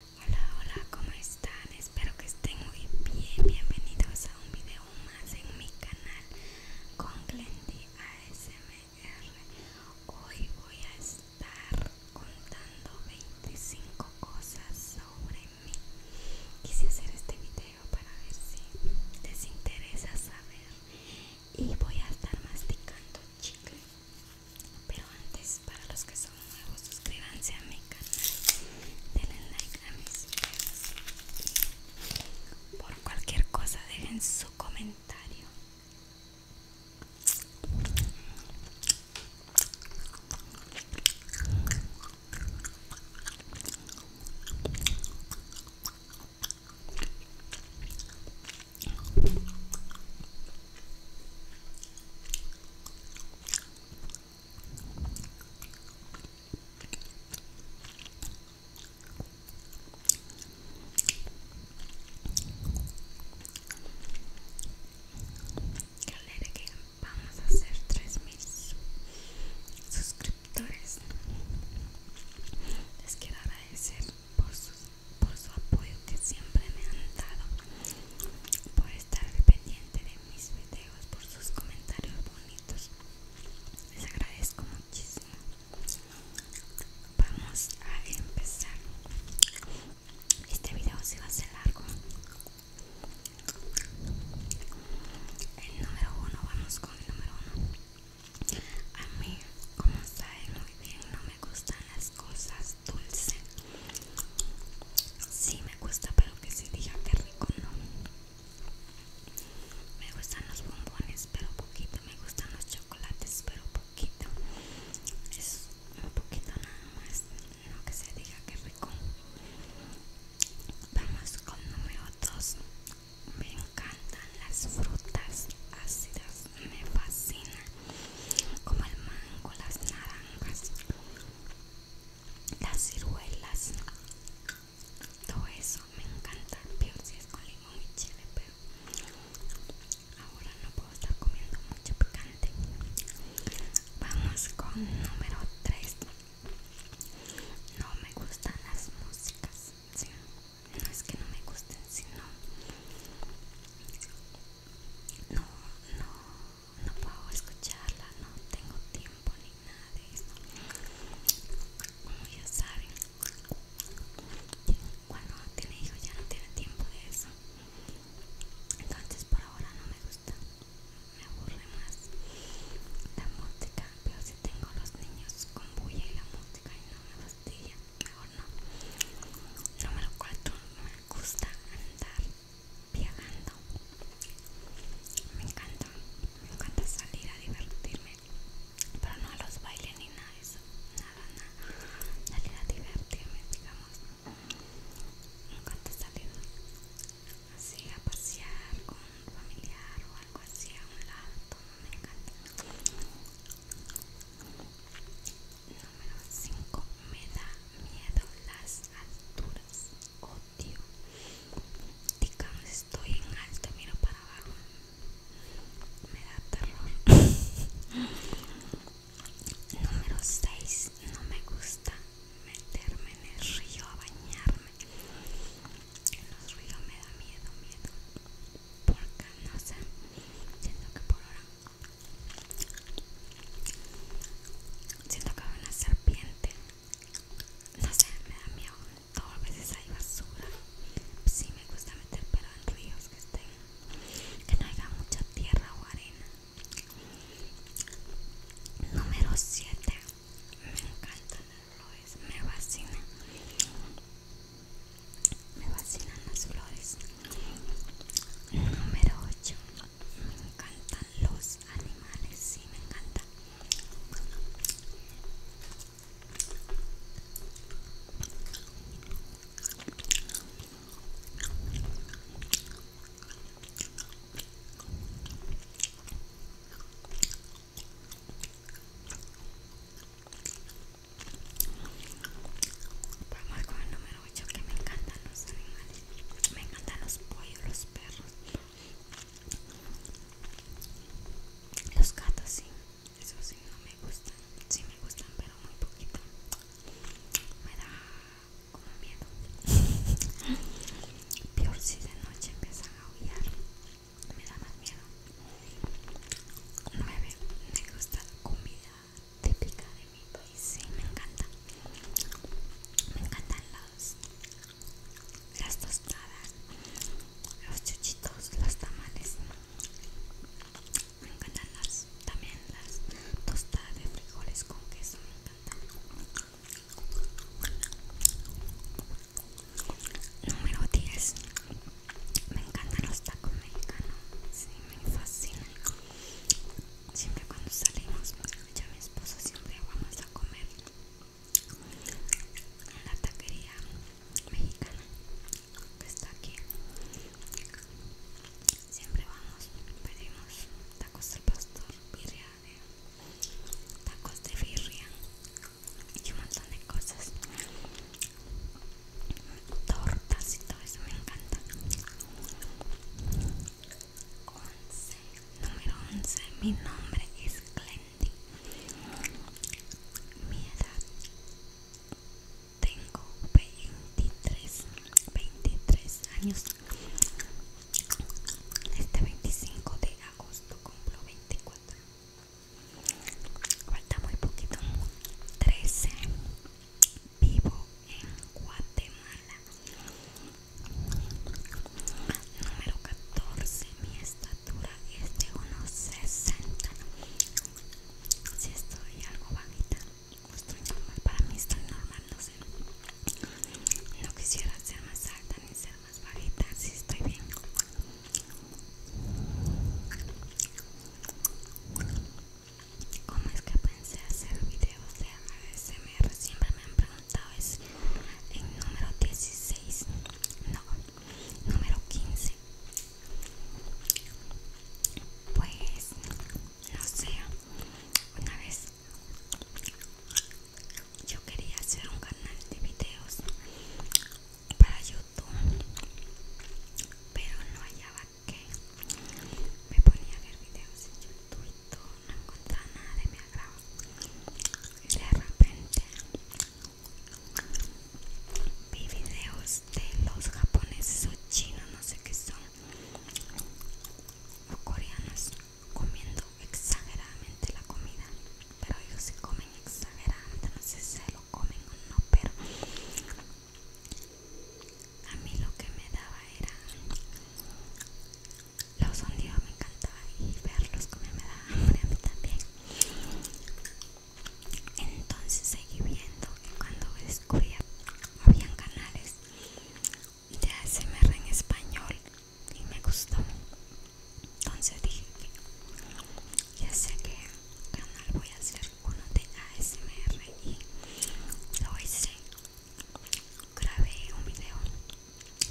Hola, hola, ¿cómo están? Espero que estén muy bien. Bienvenidos a un video más en mi canal con Glendy ASMR. Hoy voy a estar contando 25 cosas sobre mí. Quise hacer este video para ver si les interesa saber. Y voy a estar masticando chicle. Pero antes, para los que son nuevos, suscríbanse a mi canal, denle like a mis videos por cualquier cosa dejen su comentario. Galera vamos a hacer mil suscriptores les quiero agradecer por sus por su apoyo que siempre me han dado, por estar pendiente de mis videos, por sus comentarios bonitos. Les agradezco muchísimo. Vamos a empezar. Este video se va a ser largo. El número uno, vamos con el número uno. A mí, como saben muy bien, no me gustan las cosas dulces Sí me gusta, pero que se diga que rico no Me gustan los bombones, pero poquito Me gustan los chocolates, pero poquito Es un poquito nada más No que se diga que rico Vamos con número 2 Me encantan las frutas ácidas pues, me fascina como el mango, las naranjas, las ciruelas, todo eso me encanta, peor si es con limón y chile, pero ahora no puedo estar comiendo mucho picante. Vamos con número 3. No me gustan las músicas no es que no me gusten sino no no no puedo escucharla no tengo tiempo ni nada de eso como ya saben cuando tiene hijos ya no tiene tiempo de eso entonces por ahora no me gusta me aburre más la música pero si tengo los niños con bulla y la música y no me fastidia mejor no. Número cuatro Me gusta andar viajando. Me encanta. Me encanta salir a divertirme. Pero no a los bailes ni nada de eso. Nada, nada. Salir a divertirme, digamos. Me encanta salir así a pasear con un familiar o algo así a un lado. me encanta. Número 5. Me da miedo las alturas. Odio. Digamos, estoy en alto, miro para abajo. Me da terror. Número 6. No me gusta meterme en el río a bañarme en los ríos me da miedo, miedo. Porque no sé, siento que por ahora siento que hay una serpiente. No sé, me da miedo. Todas a veces hay basura. Sí, me gusta meter pero en ríos que estén, que no haya mucha tierra o arena. Número 7. Me encanta me vacina, me fascinan las flores número 8 me encantan los animales sí me encanta. Vamos con el número 8 que me encantan los animales. Me encantan los pollos, los perros. Los gatos sí, eso sí no me gustan. Sí me gustan, pero muy poquito. Me da como miedo. Peor si de noche empiezan a huir me da más miedo. 9. Me gusta la comida típica de mi país. me encanta. Me encantan las tostadas, los chuchitos, los tamales. Me encantan las, también las tostadas de frijoles con queso. Me encantan. Número 10. Me encantan los tacos mexicanos. Sí, me fascinan. Siempre cuando salimos, pues, ya mi esposo siempre vamos a comer en la taquería mexicana que está aquí. Siempre vamos, pedimos tacos al pastor, birria tacos de birria y un montón de cosas tortas y todo eso me encanta 11 número 11 mi nombre es Clendy mi edad tengo 23 23 años este 25 de agosto cumplo 24. Falta muy poquito. 13. Vivo en Guatemala. Número 14. Mi estatura es de unos 60. Si estoy algo bajita, pues estoy Para mí estoy normal, no sé. No quisiera ser más alta ni ser más bajita, si estoy bien. ¿Cómo es que pensé hacer videos de ASMR? Siempre me han preguntado, es en número 16, no, número 15. Pues, no sé, una vez yo quería hacer un canal de videos para youtube pero no hallaba que me ponía a ver videos en youtube y todo no encontraba nada de mi agrado y de repente vi videos de los japoneses o chinos no sé qué son o coreanos comiendo exageradamente la comida pero ellos se comen exageradamente no sé si lo comen o no pero a mí lo que me daba era los sonidos me encantaba y verlos comer me daba hambre a mí también entonces seguí viendo y cuando descubrí habían canales de ASMR en español y me gustó entonces dije ya sé que canal voy a hacer uno de ASMR y lo hice grabé un video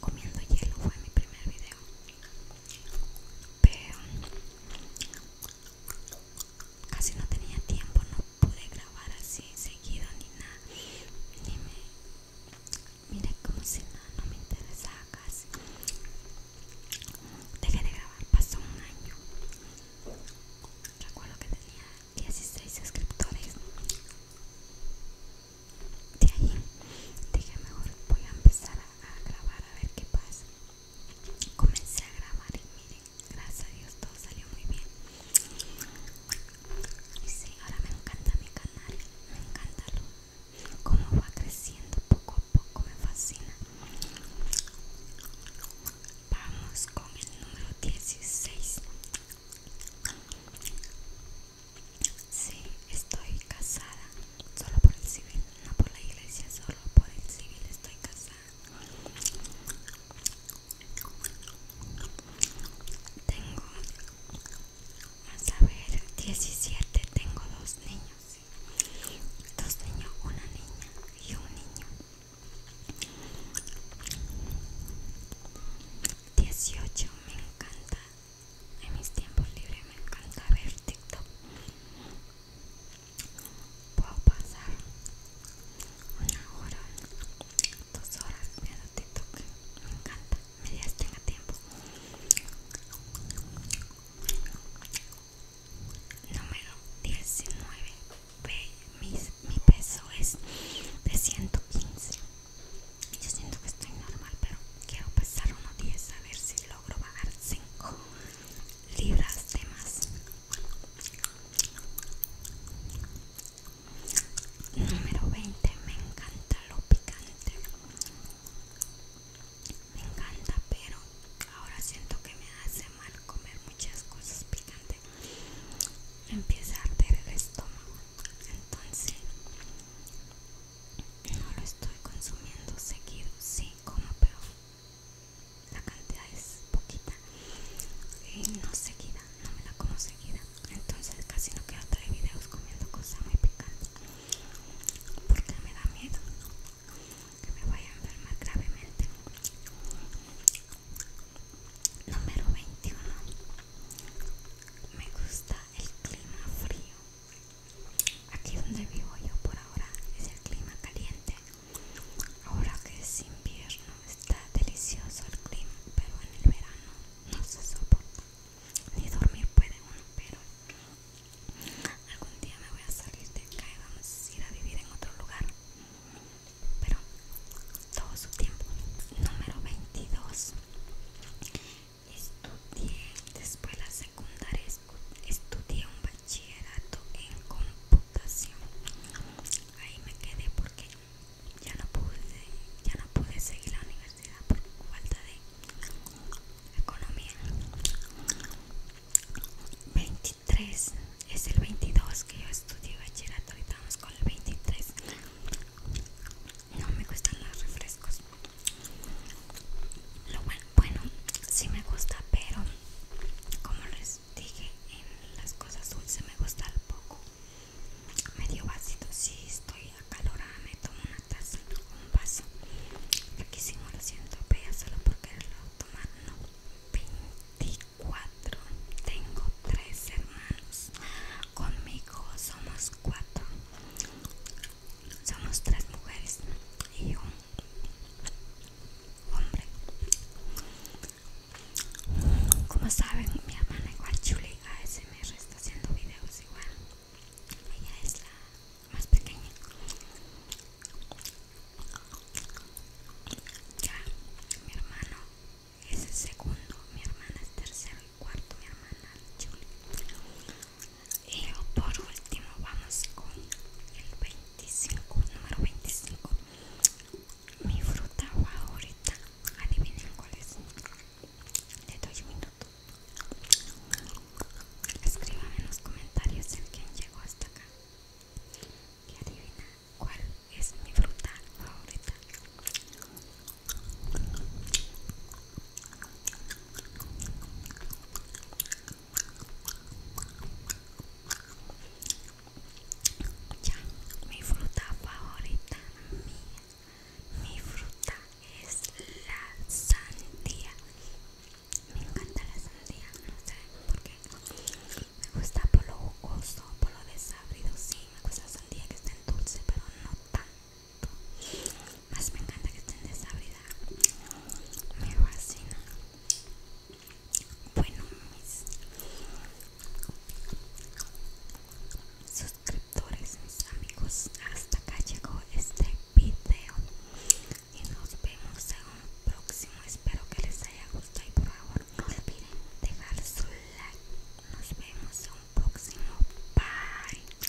comiendo hielo fue mi primer video pero casi no tenía tiempo no pude grabar grabar así seguido ni nada ni me mira como si nada no, me interesaba casi dejé de grabar pasó un año recuerdo que tenía 16 suscriptores de ahí dije mejor voy a empezar a, a grabar a ver qué pasa comencé a grabar y miren gracias a Dios todo salió muy bien y sí, ahora me encanta mi canal me encanta lo, cómo va creciendo poco a poco me fascina vamos con el número 16 Sí, estoy casada solo por el civil, no por la iglesia, solo por el civil estoy casada. Tengo, vamos a ver, 17, tengo dos niños, dos niños, una niña y un niño. 18, me encanta, en mis tiempos libres me encanta ver TikTok puedo pasar una hora, dos horas me TikTok, me encanta, medias tenga tiempo. Número 19. Mi, peso es de 115. Yo siento que estoy normal, pero quiero pasar unos 10 a ver si logro bajar 5 libras de más. Número 20. Me encanta lo picante. Me encanta, pero ahora siento que me hace mal comer muchas cosas picantes. Empieza a arder el estómago. Entonces, no lo estoy consumiendo seguido. Sí, como, peor la cantidad es poquita y no seguida, no me la como seguida, entonces casi no quiero traer videos comiendo cosas muy picantes porque me da miedo que me vaya a enfermar gravemente. Número 21. Me gusta el clima frío. Aquí donde vivo yo por ahora es el clima caliente, Ahora que es invierno está delicioso el clima, pero en el verano no se soporta. Ni dormir puede uno, pero algún día me voy a salir de acá y vamos a ir a vivir en otro lugar. Pero todo su tiempo. Número 22. Estudié después las secundaria estudié un bachillerato en computación. Ahí me quedé porque ya no pude, ya no pude seguir la universidad por falta de economía. 23 es el 22 que yo estudié bachillerato. Ahorita estamos con el 23. No me gustan los refrescos. Lo bueno bueno sí me gusta pero como les dije en las cosas dulces me gusta el poco medio ácido, si sí, estoy acalorada me tomo una taza un vaso riquísimo lo siento pero solo porque lo toma, no 24 tengo tres hermanos conmigo somos cuatro somos tres mujeres y yo hombre como saben mi hermana igual Julie ASMR está haciendo videos igual ella es la más pequeña ya mi hermano es el segundo mi hermana es tercero y cuarto mi hermana y por último vamos con el 25 número 25 mi fruta favorita adivinen cuál es le doy un minuto escríbame en los comentarios el quien llegó hasta acá y adivina cuál es mi fruta favorita ya, mi fruta favorita mía, mi fruta es la sandía. Me encanta la sandía, no sé por qué. Me gusta por lo jugoso, por lo desabrido. Sí, me gusta la sandía que está en dulce, pero no tan más me encanta que estén vida. Me fascina. Bueno, mis suscriptores, mis amigos, hasta acá llegó este video. Y nos vemos en un próximo. Espero que les haya gustado. Y por favor, no olviden dejar su like. Nos vemos en un próximo. Bye.